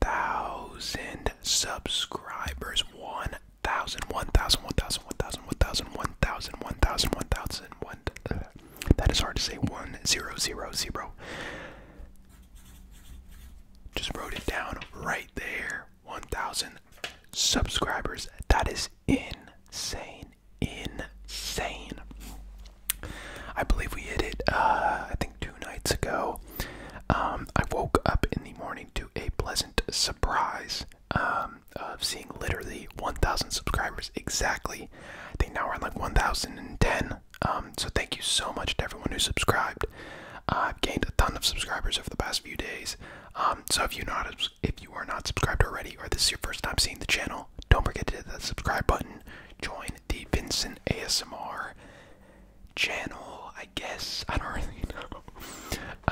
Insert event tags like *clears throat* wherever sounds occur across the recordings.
thousand subscribers. One thousand, one thousand, one thousand, one thousand, one thousand, one thousand, one thousand, one thousand, one. That is hard to say. One zero zero zero. Just wrote it down right there. One thousand subscribers. That is insane. Insane. I believe we hit it. Uh, I think two nights ago. Um, I woke up in the morning to a pleasant surprise um, of seeing literally 1,000 subscribers exactly. I think now we're on like 1,100. Um, so thank you so much to everyone who subscribed. I've gained a ton of subscribers over the past few days. so if you not if you are not subscribed already, or this is your first time seeing the channel, don't forget to hit that subscribe button. Join the Vincent ASMR channel, I guess. I don't *laughs* really know.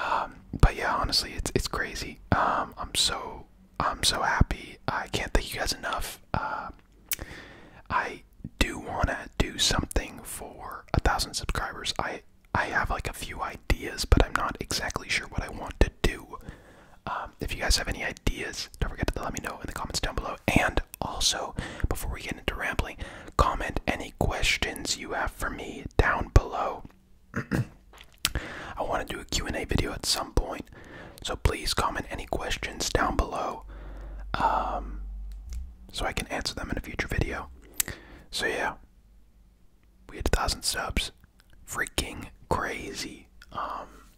Um, but yeah, honestly, it's it's crazy. Um, I'm so I'm so happy. I can't thank you guys enough. Uh, I do wanna do something for a thousand subscribers. I I have like a few ideas, but I'm not exactly sure what I want to do. Um, if you guys have any ideas, don't forget to let me know in the comments down below. And also, before we get into rambling, comment any questions you have for me down below. *clears throat* I want to do a Q&A video at some point, so please comment any questions down below um, so I can answer them in a future video. So yeah, we hit a thousand subs. Freaking crazy. Um,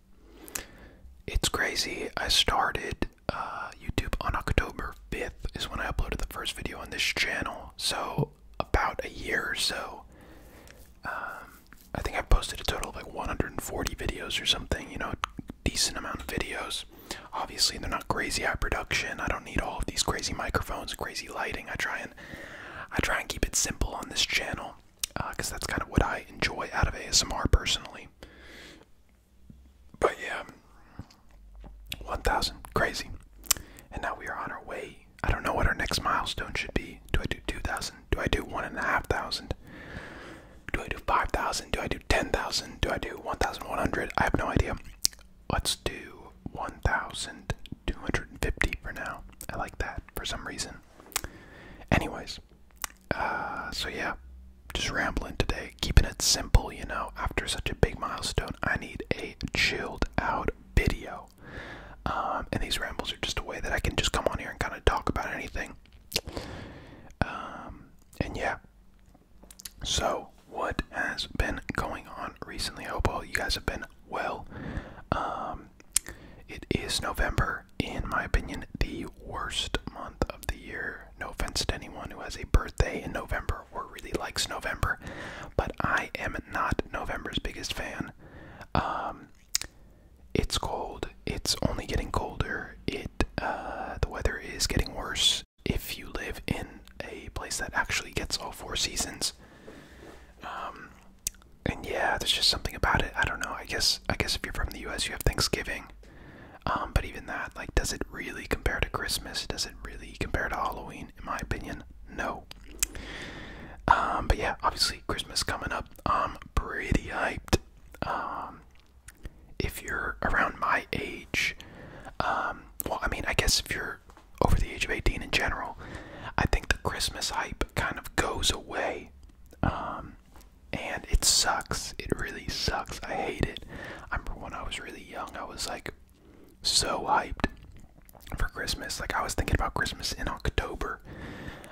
it's crazy. I started uh, YouTube on October 5th is when I uploaded the first video on this channel. So about a year or so. Um, I think I've posted a total of like 140 videos or something. You know, decent amount of videos. Obviously, they're not crazy high production. I don't need all of these crazy microphones, crazy lighting. I try and I try and keep it simple on this channel because uh, that's kind of what I enjoy out of ASMR personally. But yeah, 1,000. Crazy. And now we are on our way. I don't know what our next milestone should be. Do I do 2,000? Do I do 1,500? Do I do 5,000? Do I do 10,000? Do I do 1,100? I have no idea. Let's do 1,250 for now. I like that for some reason. Anyways, uh, so yeah, just rambling today, keeping it simple, you know. After such a big milestone, I need a chilled out video. Um, and these rambles are just a way that I can just come on here and kind of talk about anything. Um, and yeah, so what has been going on recently? I hope all you guys have been well. Um, it is November, in my opinion, the worst month of the year. No offense to anyone who has a birthday in November or really likes November, but I am not November's biggest fan. Um, it's cold. It's only getting colder. It uh, the weather is getting worse. If you live in a place that actually gets all four seasons, um, and yeah, there's just something about it. I don't know. I guess I guess if you're from the U.S., you have Thanksgiving. Um, but even that, like, does it really compare to Christmas? Does it really compare to Halloween? In my opinion, no. Um, but yeah, obviously Christmas coming up. I'm pretty hyped. Um, if you're around my age, well, I mean, I guess if you're over the age of 18 in general, I think the Christmas hype kind of goes away and it sucks. It really sucks. I hate it. I remember when I was really young, I was like so hyped for Christmas. Like I was thinking about Christmas in October.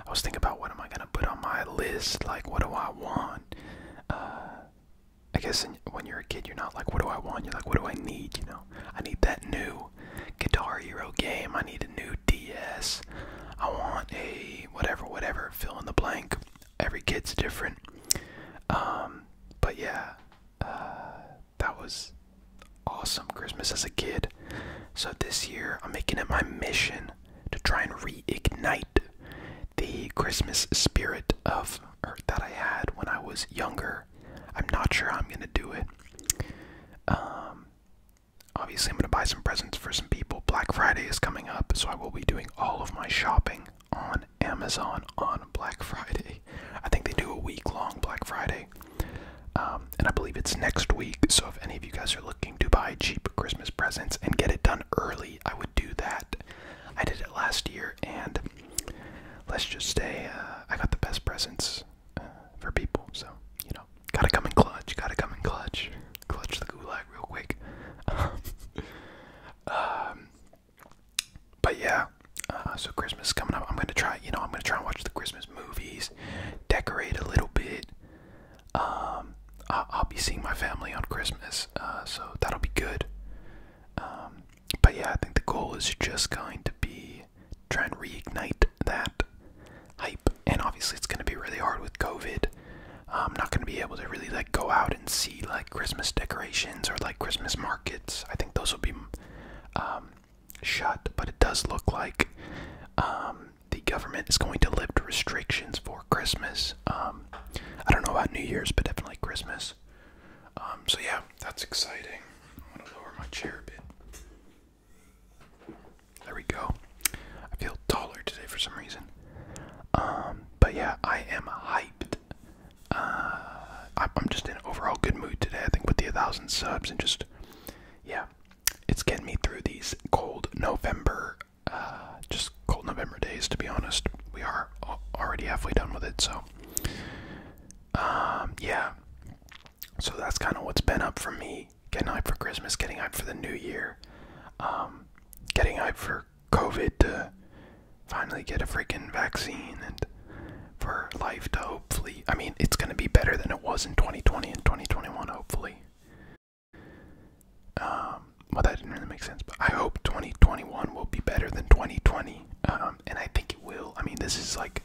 I was thinking about what am I gonna put on my list? Like what do I want? Uh, I guess when you're a kid, you're not like what do I want. You're like what do I need? You know, I need that new Guitar Hero game. I need a new DS. I want a whatever, whatever. Fill in the blank every kid's different. Um, but yeah, uh, that was awesome Christmas as a kid. So this year, I'm making it my mission to try and reignite the Christmas spirit of or that I had when I was younger. I'm not sure I'm gonna do it. Um, obviously, I'm gonna buy some presents for some people. Black Friday is coming up, so I will be doing all of my shopping on Amazon on Black Friday. I think they do a week long Black Friday. Um, and I believe it's next week. So if any of you guys are looking to buy cheap Christmas presents and get it done early, I would do that. I did it last year, and let's just say uh, I got the best presents uh, for people. So, you know, gotta come in clutch, gotta come in clutch clutch the gulag real quick. Um, *laughs* um, but yeah, uh, so Christmas is coming up. I'm gonna try, you know, I'm gonna try and watch the Christmas movies, decorate a little bit. Um, I'll, be seeing my family on Christmas, uh, so that'll be good. but yeah, I think the goal is just going to be try and reignite that hype, and obviously it's gonna be really hard with COVID. I'm not going to be able to really like go out and see like Christmas decorations or like Christmas markets. I think those will be um, shut, but it does look like um, the government is going to lift restrictions for Christmas. Um, I don't know about New Year's, but definitely Christmas. Um, so yeah, that's exciting. I'm gonna lower my chair a bit. There we go. I feel taller today for some reason. Um, but yeah, I am hyped. Uh, I'm just in overall good mood today. I think with the 1,000 subs and just, yeah, it's getting me through these cold November, uh, just cold November days, to be honest. We are already halfway done with it, so, um, yeah. So that's kind of what's been up for me. Getting hyped for Christmas, getting hyped for the new year, um, getting hyped for COVID to finally get a freaking vaccine and for life to hopefully. I mean, it's going to be better than it was in 2020 and 2021, hopefully. Um, well, that didn't really make sense, but I hope 2021 will be better than 2020. Um, and I think it will. I mean, this is like,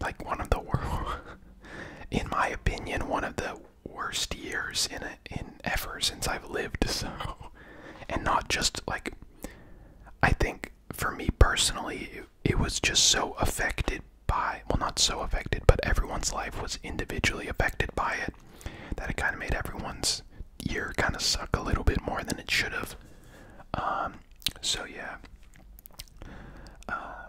like one of the worst, *laughs* in my opinion, one of the worst years in in ever since I've lived. *laughs* So, and not just like, I think for me personally, it, was just so affected by well, not so affected, but everyone's life was individually affected by it. That it kind of made everyone's year kind of suck a little bit more than it should have. Um, so yeah, uh,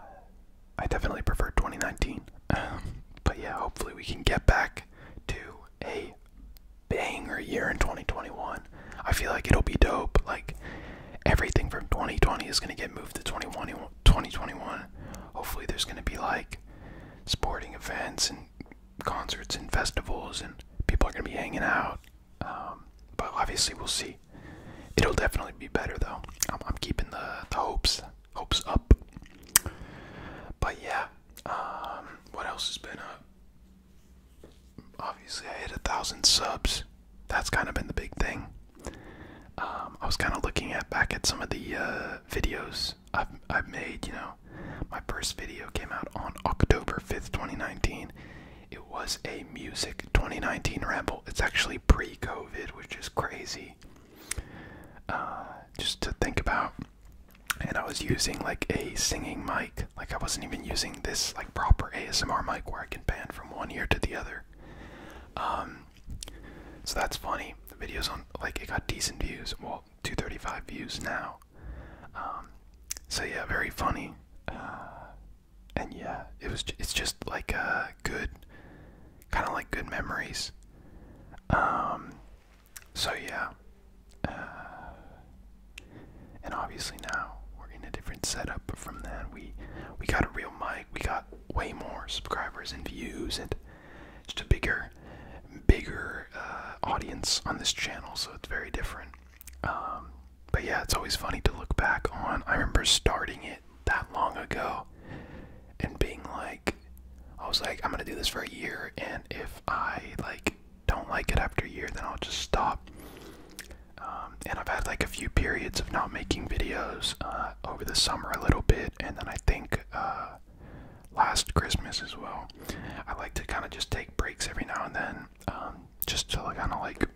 I definitely prefer 2019. *laughs* but yeah, hopefully we can get back back to a banger year in 2021. I feel like it'll be dope. Like everything from 2020 is gonna get moved to 2021. Hopefully, there's gonna be like sporting events and concerts and festivals, and people are gonna be hanging out. Um, but obviously, we'll see. It'll definitely be better though. I'm, I'm keeping the, the hopes hopes up. But yeah, um, what else has been up? Obviously, I hit a thousand subs. That's kind of been the big thing. Um, I was kind of looking at back at some of the uh, videos I've I've made. You know, my first video came out on October fifth, twenty nineteen. It was a music 2019 ramble. It's actually pre-COVID, which is crazy. Uh, just to think about. And I was using like a singing mic, like I wasn't even using this like proper ASMR mic where I can pan from one ear to the other. Um, so that's funny. The videos on like it got decent views, well, 235 views now. Um, so yeah, very funny. Uh, and yeah, it was. It's just like uh, good, kind of like good memories. Um, so yeah, uh, and obviously now we're in a different setup. But from then we we got a real mic. We got way more subscribers and views, and just a bigger, bigger uh, audience on this channel. So it's very different. Um, but yeah, it's always funny to look back on. I remember starting it that long ago, and being like I was like I'm gonna do this for a year and if I like don't like it after a year then I'll just stop. Um, and I've had like a few periods of not making videos uh, over the summer a little bit and then I think uh, last Christmas as well. I like to kind of just take breaks every now and then um, just to kind of like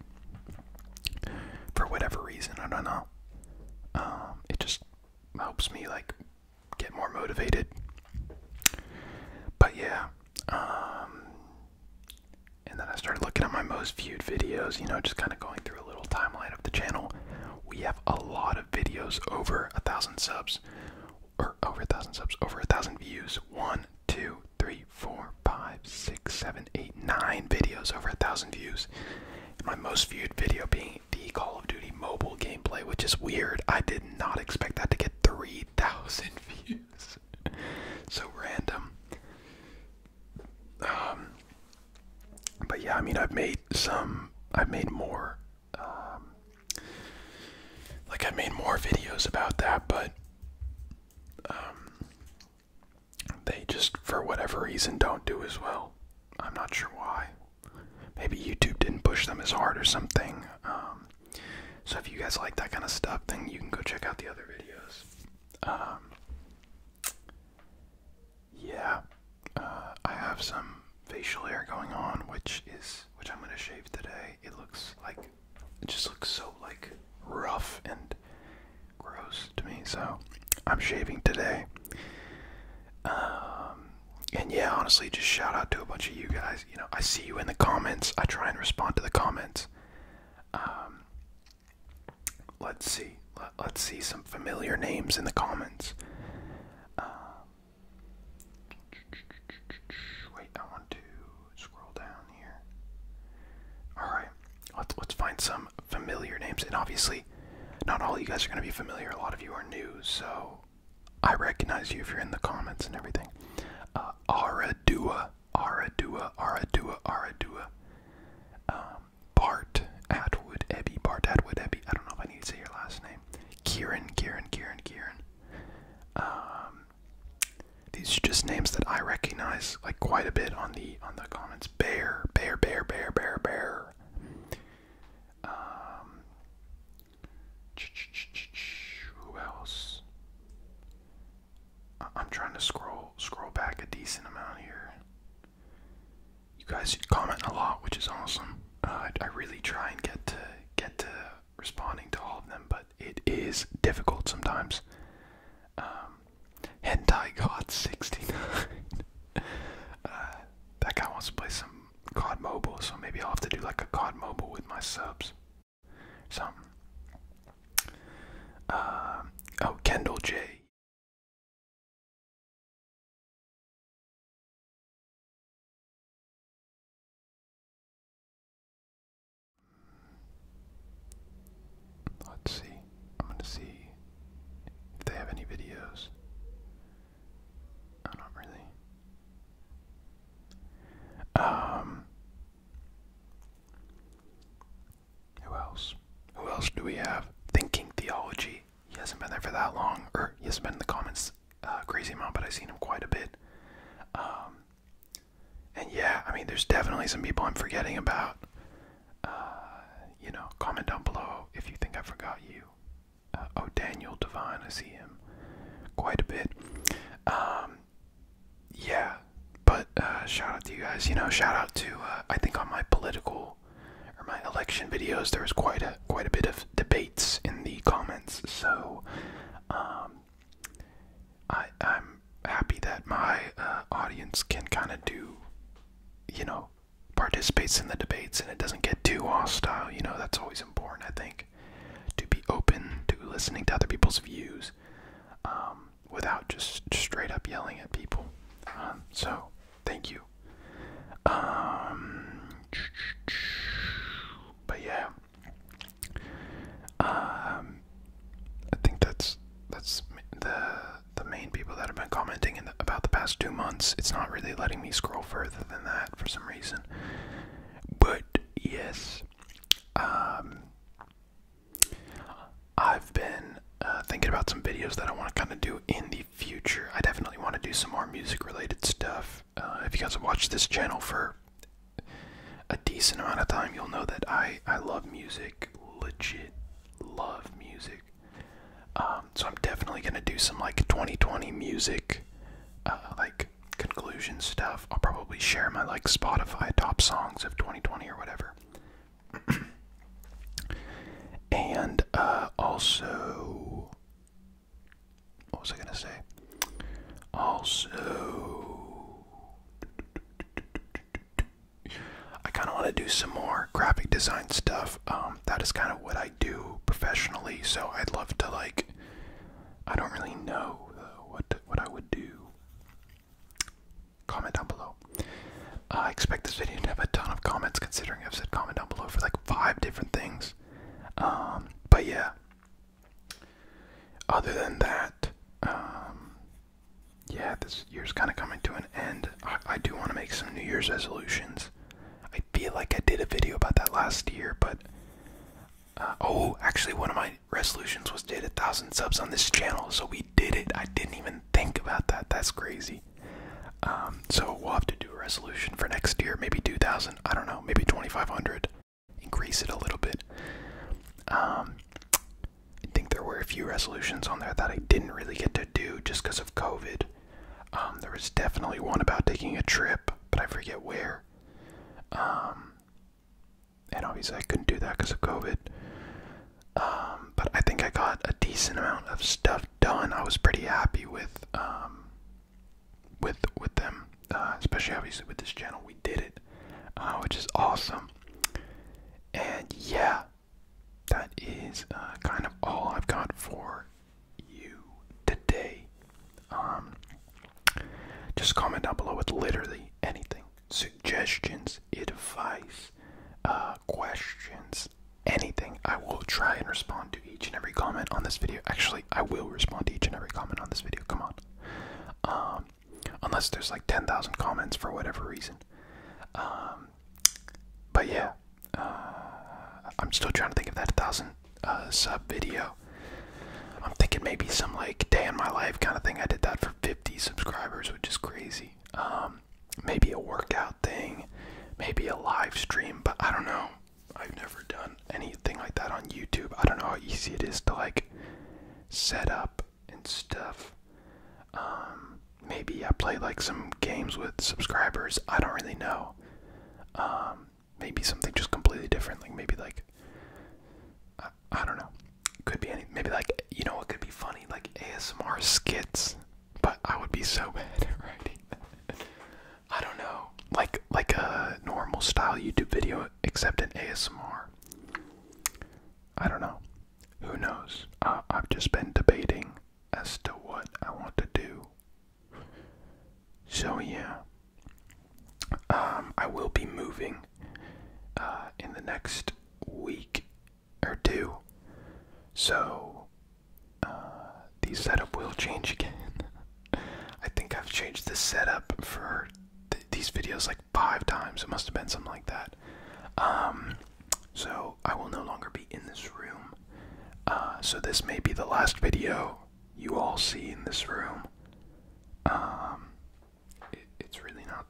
for whatever reason I don't know. Um, it just helps me like get more motivated. But yeah, um, and then I started looking at my most viewed videos, you know, just kind of going through a little timeline of the channel. We have a lot of videos over a thousand subs, or over a thousand subs, over a thousand views. One, two, three, four, five, six, seven, eight, nine videos over a thousand views. my most viewed video being the Call of Duty mobile gameplay, which is weird. I did not expect that to get 3,000 *laughs* views. so random. Um, but yeah, I mean, I've made some, I've made more, um, like I made more videos about that, but, um, they just, for whatever reason, don't do as well. I'm not sure why maybe YouTube didn't push them as hard or something. Um, so if you guys like that kind of stuff, then you can go check out the other videos. Um, yeah, uh, I have some facial hair going on, which is which I'm gonna shave today. It looks like it just looks so like rough and gross to me. So I'm shaving today. Um, and yeah, honestly, just shout out to a bunch of you guys. You know, I see you in the comments. I try and respond to the comments. Um, let's see. Let, us see some familiar names in the comments. Um, wait, I want to scroll down here. All right, let's let's find some familiar names, and obviously, not all of you guys are going to be familiar, a lot of you are new, so I recognize you if you're in the comments and everything. Uh, Aradua, Aradua, Aradua, Aradua. Um, Bart Atwood Eby, Bart Atwood Eby. I don't know if I need to say your last name. Kieran, Kieran, Kieran, Kieran. Um, these are just names that I recognize like quite a bit on the on the comments. Bear, bear, bear, bear, bear, bear. Um, who else? I'm trying to scroll scroll back a decent amount here. You guys comment a lot, which is awesome. Uh, I, really try and get to get to responding to all of them, but it is difficult sometimes. Um, hentai God *laughs* 69. Uh, that guy wants to play some COD Mobile, so maybe I'll have to do like a COD Mobile with my subs. So, uh, oh, Kendall J. Let's see. I'm going to see if they have any videos. Oh, not really. Um. Who else? Who else do we have? Thinking Theology. He hasn't been there for that long, or he hasn't been in the comments a uh, crazy amount, but I've seen him quite a bit. Um, and yeah, I mean, there's definitely some people I'm forgetting about. Uh, you know, comment down below if you think I forgot you oh, Daniel Devine, I see him quite a bit. Um, yeah, but uh, shout out to you guys. You know, shout out to uh, I think on my political or my election videos, there was quite a quite a bit of debates in the comments. So, um, I I'm happy that my uh, audience can kind of do, you know, participates in the debates and it doesn't get too hostile. You know, that's always important, I think, to be open to listening to other people's views um, without just straight up yelling at people. Um, so, thank you. Um, but yeah, I think that's that's the the main people that have been commenting about the past two months. It's not really letting me scroll further than that for some reason. But yes, um, I've been uh, thinking about some videos that I want to kind of do in the future. I definitely want to do some more music related stuff. Uh, if you guys have watched this channel for a decent amount of time, you'll know that I, I love music, legit love music. Um, so I'm definitely gonna do some like 2020 music, uh, like conclusion stuff. I'll probably share my like Spotify top songs of 2020 or whatever. *clears throat* and uh, also, what was I gonna say? Also, I kind of want to do some more graphic design stuff. Um, um, that is kind of what I do professionally. So I'd love to like. I don't really know uh, what what I would do. Comment down below. I expect this video to have a ton of comments, considering I've said comment down below for like five different things. Um, but yeah. Other than that, um, yeah, this year's kind of coming to an end. I do want to make some New Year's resolutions. I feel like I did a video about that last year, but uh, oh, actually, one of my resolutions was to hit a thousand subs on this channel, so we did it. I didn't even think about that. That's crazy. Um, so we'll have to do a resolution for next year, maybe 2,000. I don't know, maybe 2,500. Increase it a little bit. Um, I think there were a few resolutions on there that I didn't really get to do just because of COVID. Um, there was definitely one about taking a trip, but I forget where. Um, and obviously, I couldn't do that because of COVID. Um, but I think I got a decent amount of stuff done. I was pretty happy with with with them, uh, especially obviously with this channel. We did it, uh, which is awesome. And yeah, that is uh, kind of all I've got for you today. Um, just comment down below with literally anything suggestions, advice, uh, questions, anything. I will try and respond to each and every comment on this video. Actually, I will respond to each and every comment on this video. Come on. Um, unless there's like 10,000 comments for whatever reason. Um, but yeah, uh, I'm still trying to think of that thousand uh, sub video. I'm thinking maybe some like day in my life kind of thing. I did that for 50 subscribers, which is crazy. Um, maybe a workout thing, maybe a live stream, but I don't know. I've never done anything like that on YouTube. I don't know how easy it is to like set up and stuff. Um, maybe I play like some games with subscribers. I don't really know. Um, maybe something just completely different. Like maybe like I, don't know. Could be any. Maybe like you know what could be funny like ASMR skits. But I would be so *laughs* bad at *laughs* I don't know. Like like a normal style YouTube video except an ASMR. I don't know. Who knows? I've just been debating as to what I want to do. So yeah, um, I will be moving uh, in the next week or two. So uh, the setup will change again. *laughs* I think I've changed the setup for these videos like five times. It must have been something like that. Um, so I will no longer be in this room. Uh, so this may be the last video you all see in this room. Um, it's really not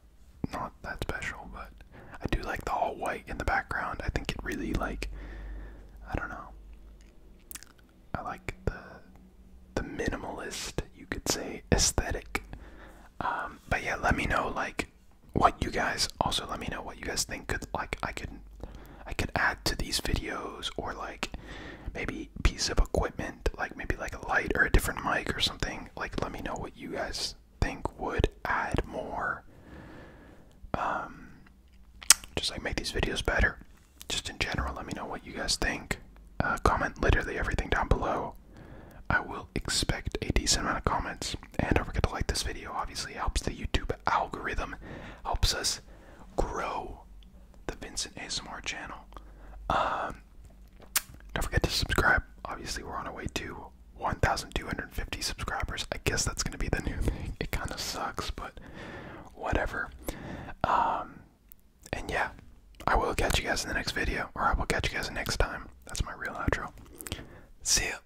not that special, but I do like the all white in the background. I think it really like I don't know. I like the the minimalist, you could say, aesthetic. Um, but yeah, let me know like what you guys also let me know what you guys think could like I could I could add to these videos or like maybe piece of equipment like maybe like a light or a different mic or something like let me know what you guys think would add more um just like make these videos better just in general let me know what you guys think uh, comment literally everything down below I will expect a decent amount of comments and don't forget to like this video obviously helps the YouTube algorithm helps us grow the Vincent ASMR channel. Um, don't forget to subscribe. Obviously, we're on our way to 1,250 subscribers. I guess that's going to be the new thing. It kind of sucks, but whatever. Um, and yeah, I will catch you guys in the next video, or I will catch you guys next time. That's my real outro. See ya.